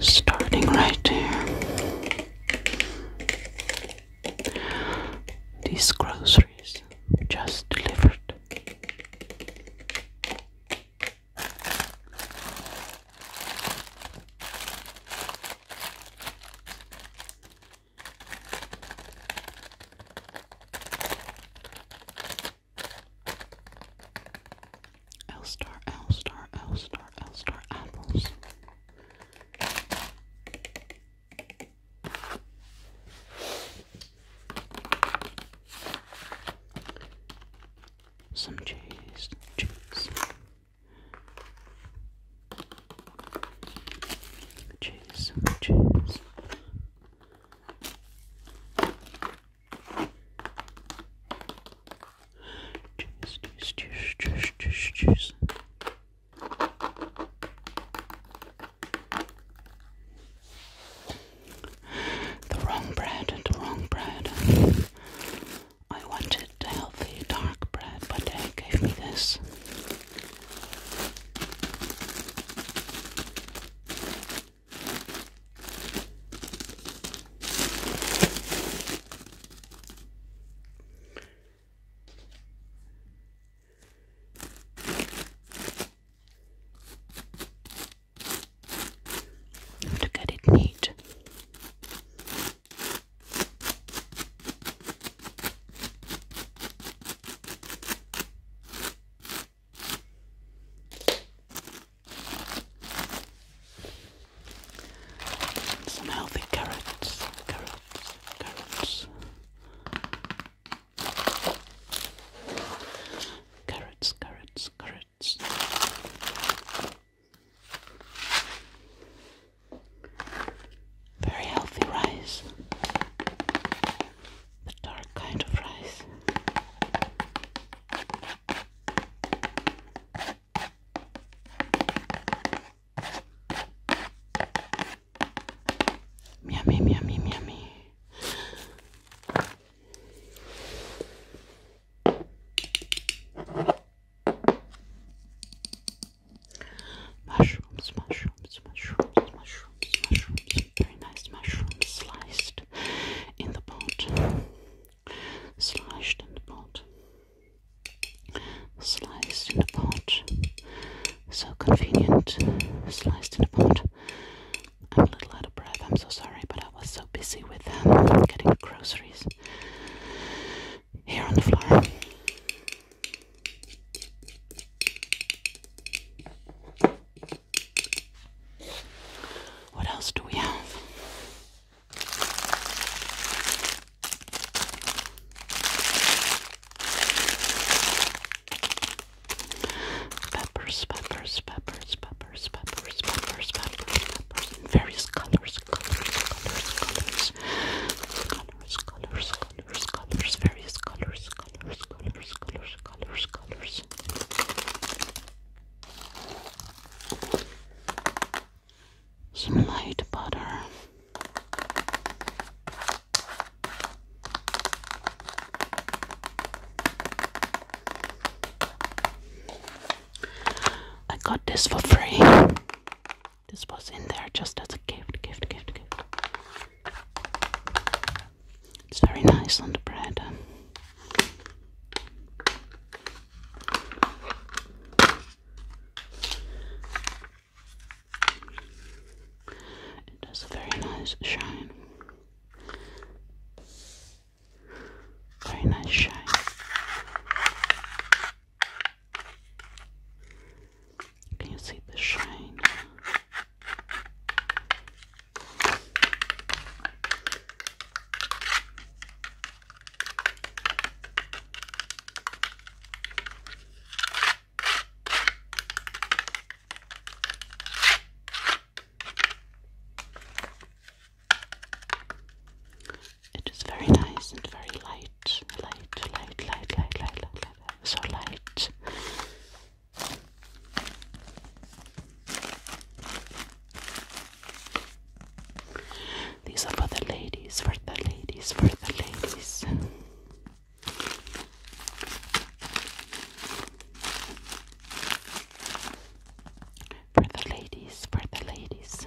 Starting right here. These groceries just delivered. L star, L star, L star, L star apples. Some cheese, cheese, cheese, cheese, Cheers, cheers, cheers, cheers, cheers, cheers. The wrong bread, the wrong bread. I wanted healthy dark bread, but they gave me this to get it neat. Some healthy carrots, carrots, carrots. Carrots, carrots, carrots. Very healthy rice the dark kind of rice. Yummy, yummy, yummy. Mushrooms, mushrooms, mushrooms, mushrooms very nice mushrooms sliced in the pot, sliced in the sliced in the pot, so convenient, sliced in the pot. I'm a little out of breath, I'm so sorry, but I was so busy with um, getting groceries here on the floor. What else do we have? Peppers, peppers, peppers, peppers, peppers, peppers, peppers, peppers, in various colors, colors, colors, colors, colors, colors, colors, colors, various colors. Some light butter. I got this for free. This was in there just as a gift, gift, gift, gift. It's very nice on the bread. It has a very nice shine. Very nice shine. Can you see the shine? It is very nice and very light, light, light, light, light, light, light, so light. These are for the ladies, for the ladies, for the ladies. For the ladies, for the ladies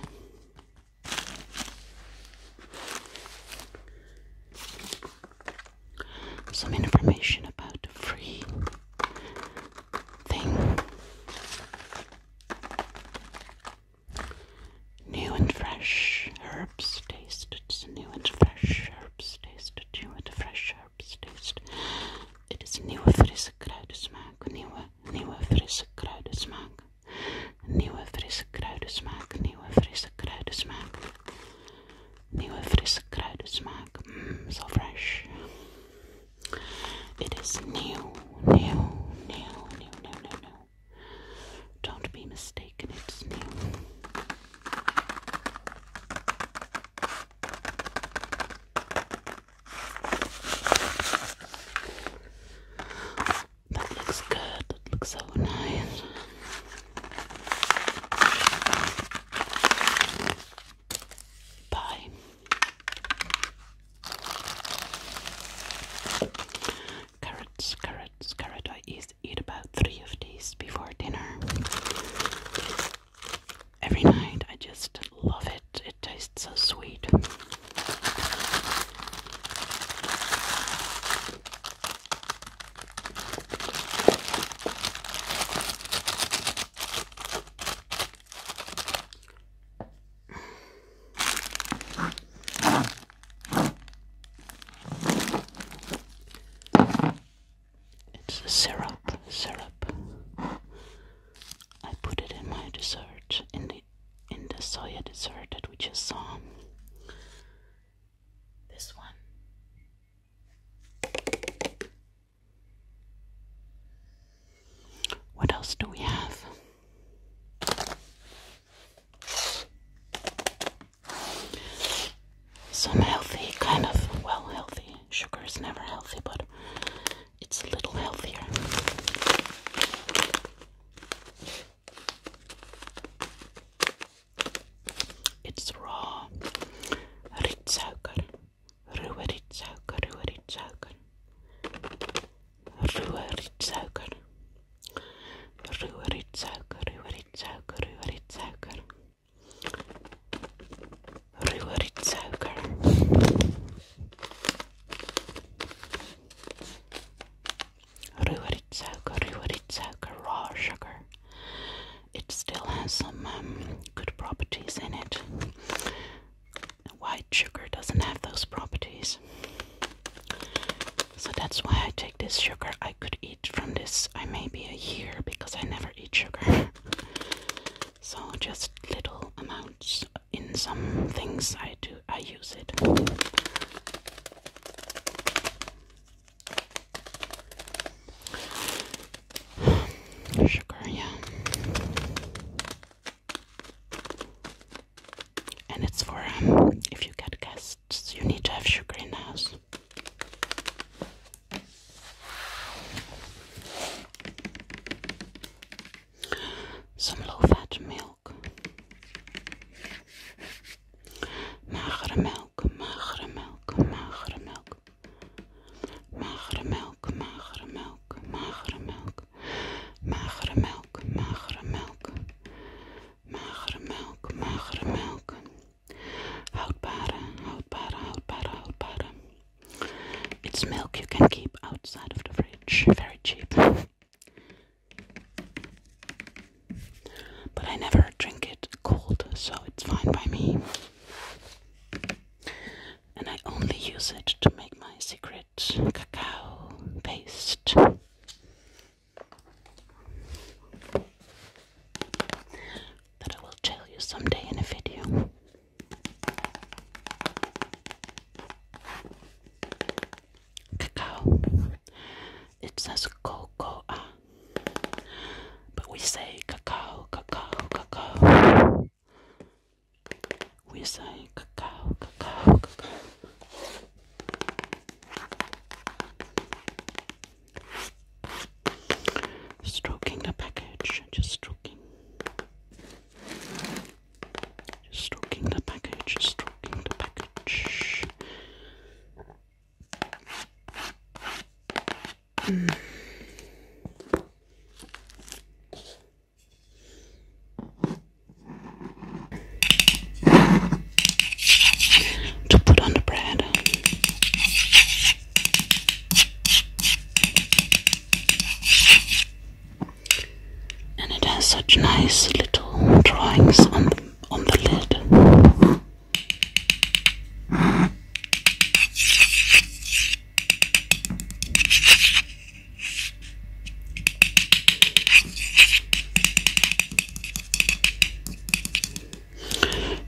some information about a free thing. New and fresh herbs tasted. New and fresh herbs tasted. New and fresh herbs tasted. It is nieuwe frisse kruidensmaak. Nieuwe, nieuwe frisse kruidensmaak. Nieuwe frisse kruidensmaak. Nieuwe frisse kruidensmaak. Nieuwe frisse kruidensmaak. Mm, zo fresh. It is new, new, new, new, new, new, new. Don't be mistaken, it's new. That looks good, that looks so nice. Bye. Carrots, carrots, carrot. I eat about three of these before dinner. Every night I just love it. It tastes so sweet. It's the syrup, syrup. I put it in my dessert, in the in the soya dessert that we just saw. This one. What else do we have? Some healthy, kind of well healthy. Sugar is never healthy, but it's a little healthier. It's raw rietsuiker, ruwe rietsuiker, ruwe rietsuiker, ruwe rietsuiker, ruwe rietsuiker, ruwe rietsuiker, ruwe rietsuiker, ruwe rietsuiker. Ruwe rietsuiker, ruwe rietsuiker, raw sugar it still has some um, good properties in it. White sugar doesn't have those properties. So that's why I take this sugar. I could eat from this, I may be a year because I never eat sugar. so just little amounts in some things I do, I use it. Sugar, yeah. And it's for um, if you get guests, you need to have sugar in house. Some low fat milk. Magere milk, magere milk, magere milk. Magere melk, magere melk, magere melk. Magere melk, magere melk. Magere melk, magere melk. Houdbare, houdbare, houdbare, houdbare. It's milk you can keep outside of the fridge. Very cheap. But I never drink it cold, so it's fine by me. And I only use it to make my secret cacao paste. That I will tell you someday in a video. Cacao. It says cocoa. But we say cacao, cacao, cacao. We say cacao, cacao, cacao. Stroking the package, just stroking. Just stroking the package, stroking the package. To put on the bread. And it has such nice little drawings on the, on the lid.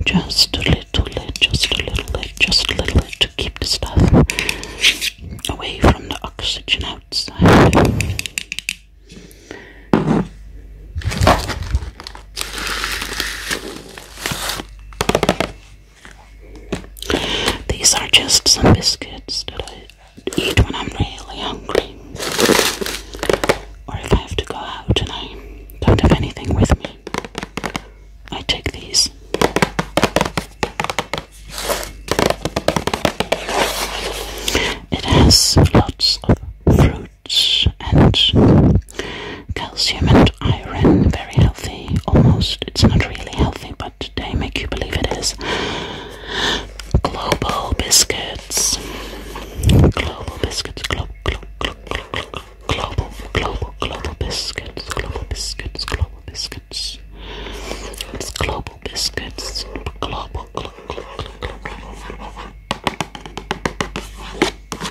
Just a little bit, just a little bit, just a little bit to keep the stuff away from the oxygen outside. These are just some biscuits that I eat when I'm really hungry, or if I have to go out and I don't have anything with me. I take these. It has lots of fruits and Calcium and iron, very healthy. Almost, it's not really healthy, but they make you believe it is. Global biscuits. Global biscuits. Global, glo glo glo glo global, global, global biscuits. Global biscuits. Global biscuits. It's global biscuits. Global, global, global, global.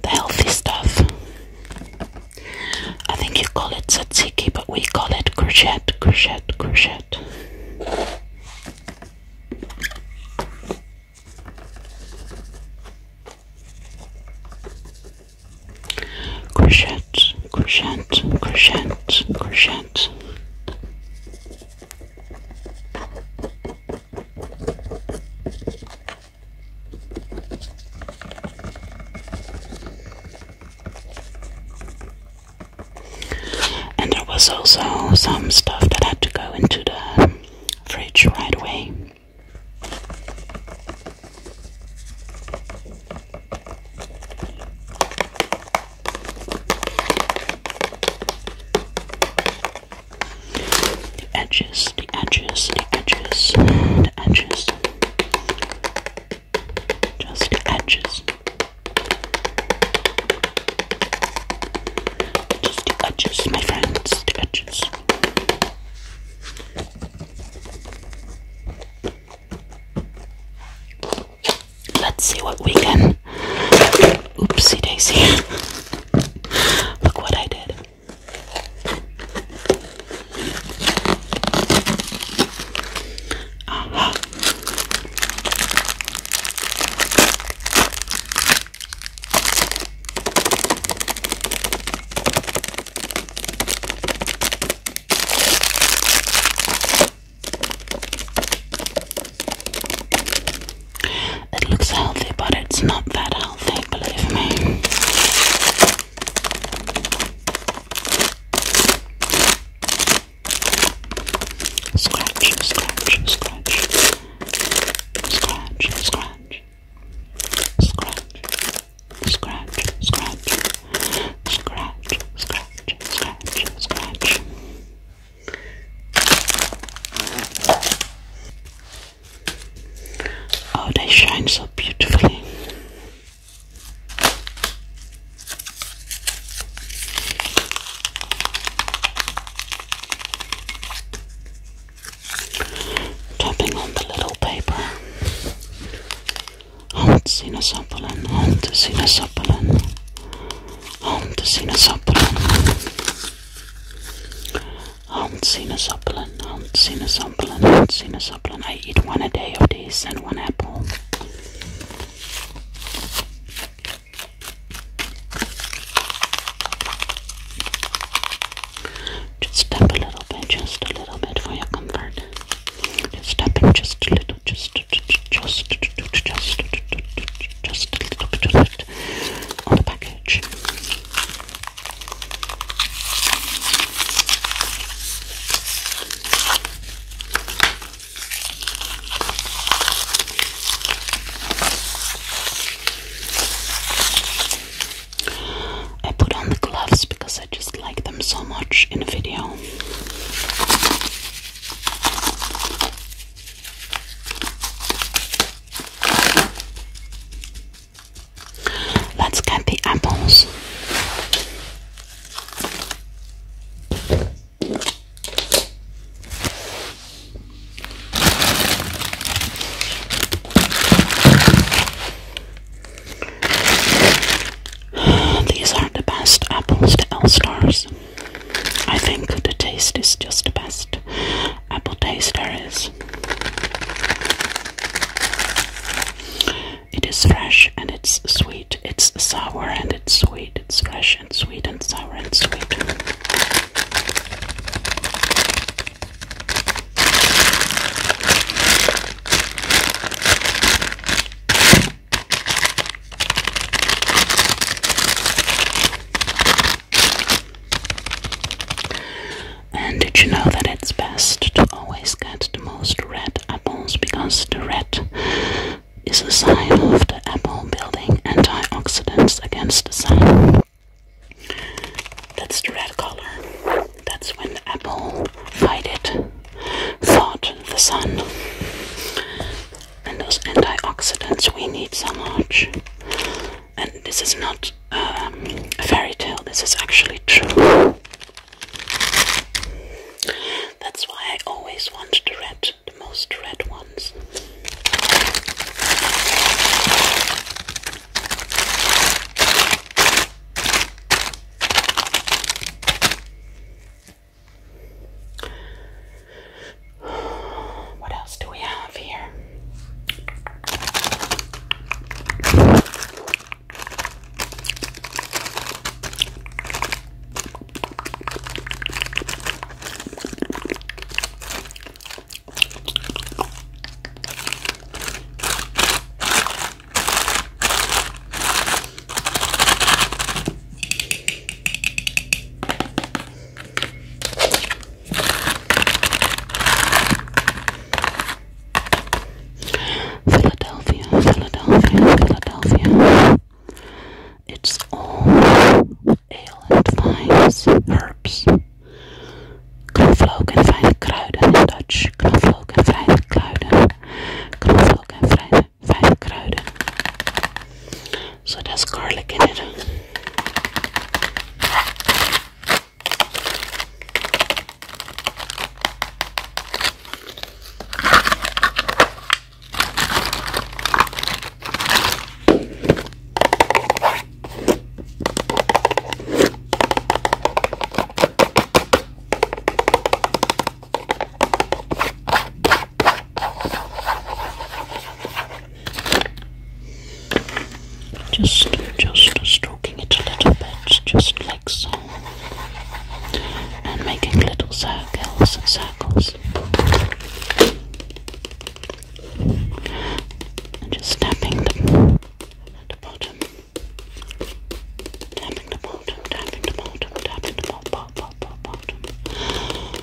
The healthy stuff. I think you call it tzatziki, but we call it crochet, crochet, crochet. Crochet, crochet, crochet, crochet. And there was also some stuff that had to go into the fridge right away. The edges, the edges, the edges, the edges. Just edges. Just edges, my friends, the edges. Let's see what we can. Oopsie daisy. Look what I did. Uh it looks healthy, but it's not that healthy, believe me. Scratch, scratch, scratch. Scratch, scratch. Scratch, scratch, scratch. Scratch, scratch, scratch, scratch. Oh, they shine so beautifully. Tapping on the little paper. Hunt Sinasapalan, Hunt Sinasapalan, Hunt Sinasapalan, Hunt Sinasapalan, Hunt Sinasapalan, Hunt Sinasapalan. I eat one a day of these and one apple. Just tap a little bit, just a little bit for your comfort. Just tap it just a little little, just, just, just, just a little bit of it on the package. I put on the gloves because I just like them so much in a video. Let's get the apples. These are the best apples, the L stars. I think the taste is just the best apple taster is. It is fresh and it's sweet. It's sour and it's sweet. It's fresh and sweet and sour and sweet did you know that it's best to always get the most red apples because the red is a sign of the apple building antioxidants against the sun? That's the red color. That's when the apple fight fought the sun and those antioxidants we need so much. And this is not um, a fairy tale, this is actually true. That's why I always want the red, the most red ones. What else do we have here? Philadelphia, Philadelphia, Philadelphia. It's all ale and vines, herbs. Knoflook en fijne kruiden in Dutch. Knoflook en fijne kruiden. Knoflook en fijne so that's garlic in it. Just, just stroking it a little bit, just like so, and making little circles and circles, and just tapping the, bottom, tapping the bottom, tapping the bottom, tapping the bottom, bottom, bottom, bottom,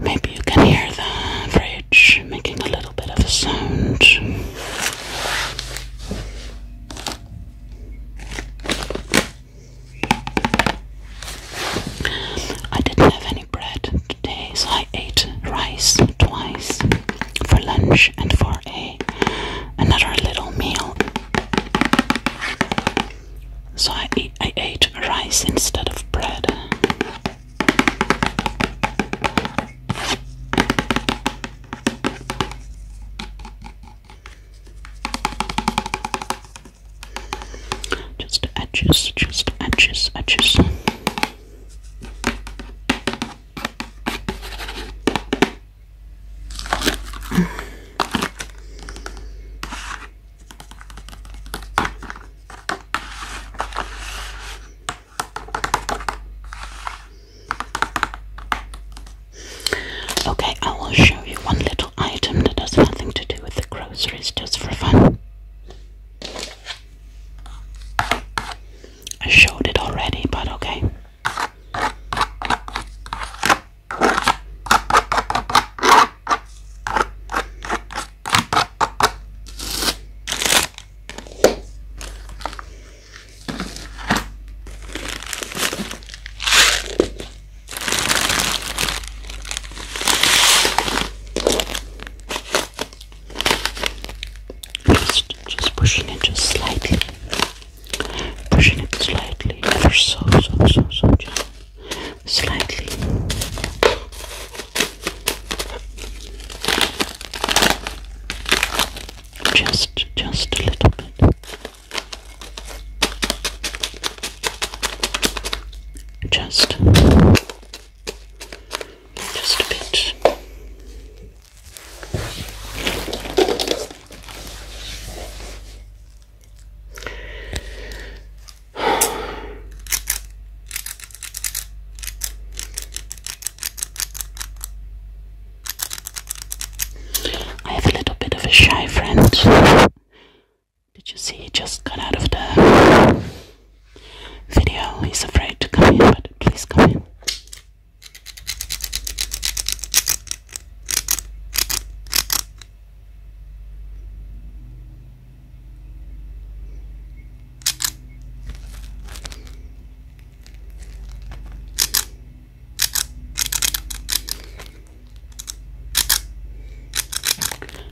Maybe you can hear the fridge making a little bit of a sound. I didn't have any bread today, so I ate rice twice for lunch and for a another little meal. So I I ate rice instead of bread. Just edges, just edges, edges. Okay, I will show you one little item that has nothing to do with the groceries, just for fun. I showed it already, but okay. Just, just pushing it just slightly, pushing it slightly, ever so, so, so, so just slightly. Just, just a little bit just just a bit I have a little bit of a shy friend. Did you see he just got out of the video? He's afraid to come in, but please come in.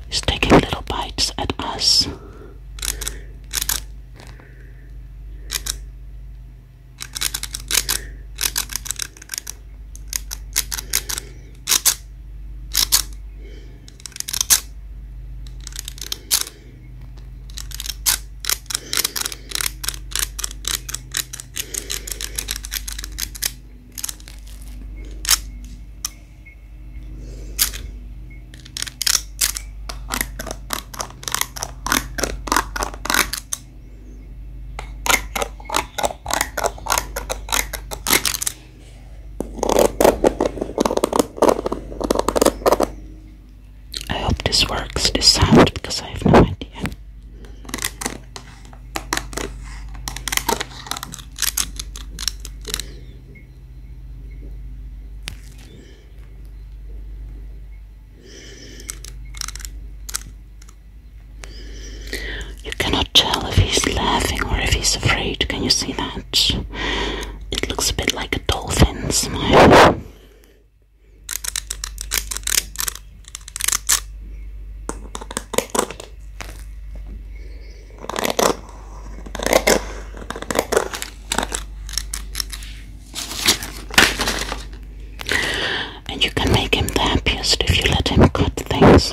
He's taking little bites at us. I hope this works, this sound, because I have no idea. You cannot tell if he's laughing or if he's afraid. Can you see that? It looks a bit like a dolphin smile. And you can make him the happiest if you let him cut things.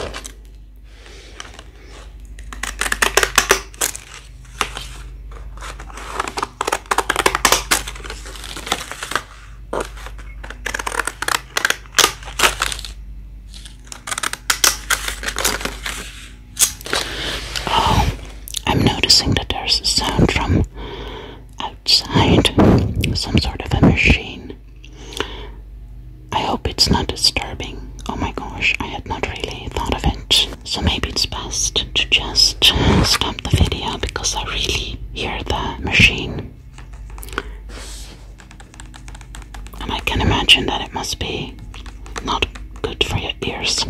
Oh, I'm noticing that there's a sound from outside, some sort of a machine. I hope it's not disturbing. Oh my gosh, I had not really thought of it. So maybe it's best to just stop the video because I really hear the machine. And I can imagine that it must be not good for your ears.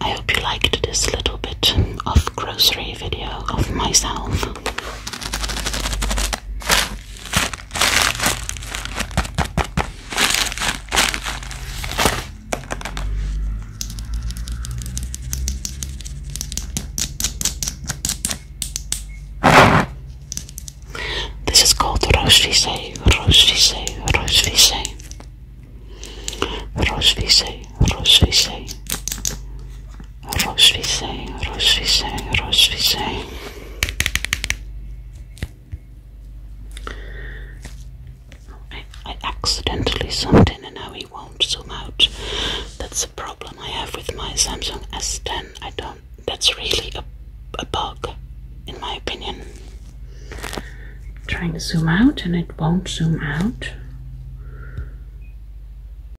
I hope you liked this little bit of grocery video of myself. This is called Rose Vise, Rose Vise, Rose Vise, Rose Vise, Rose Vise, Rochvisay, Rochvisay, Rochvisay. I, I accidentally zoomed in and now he won't zoom out. That's a problem I have with my Samsung S10. I don't. That's really a, a bug, in my opinion. trying to zoom out and it won't zoom out.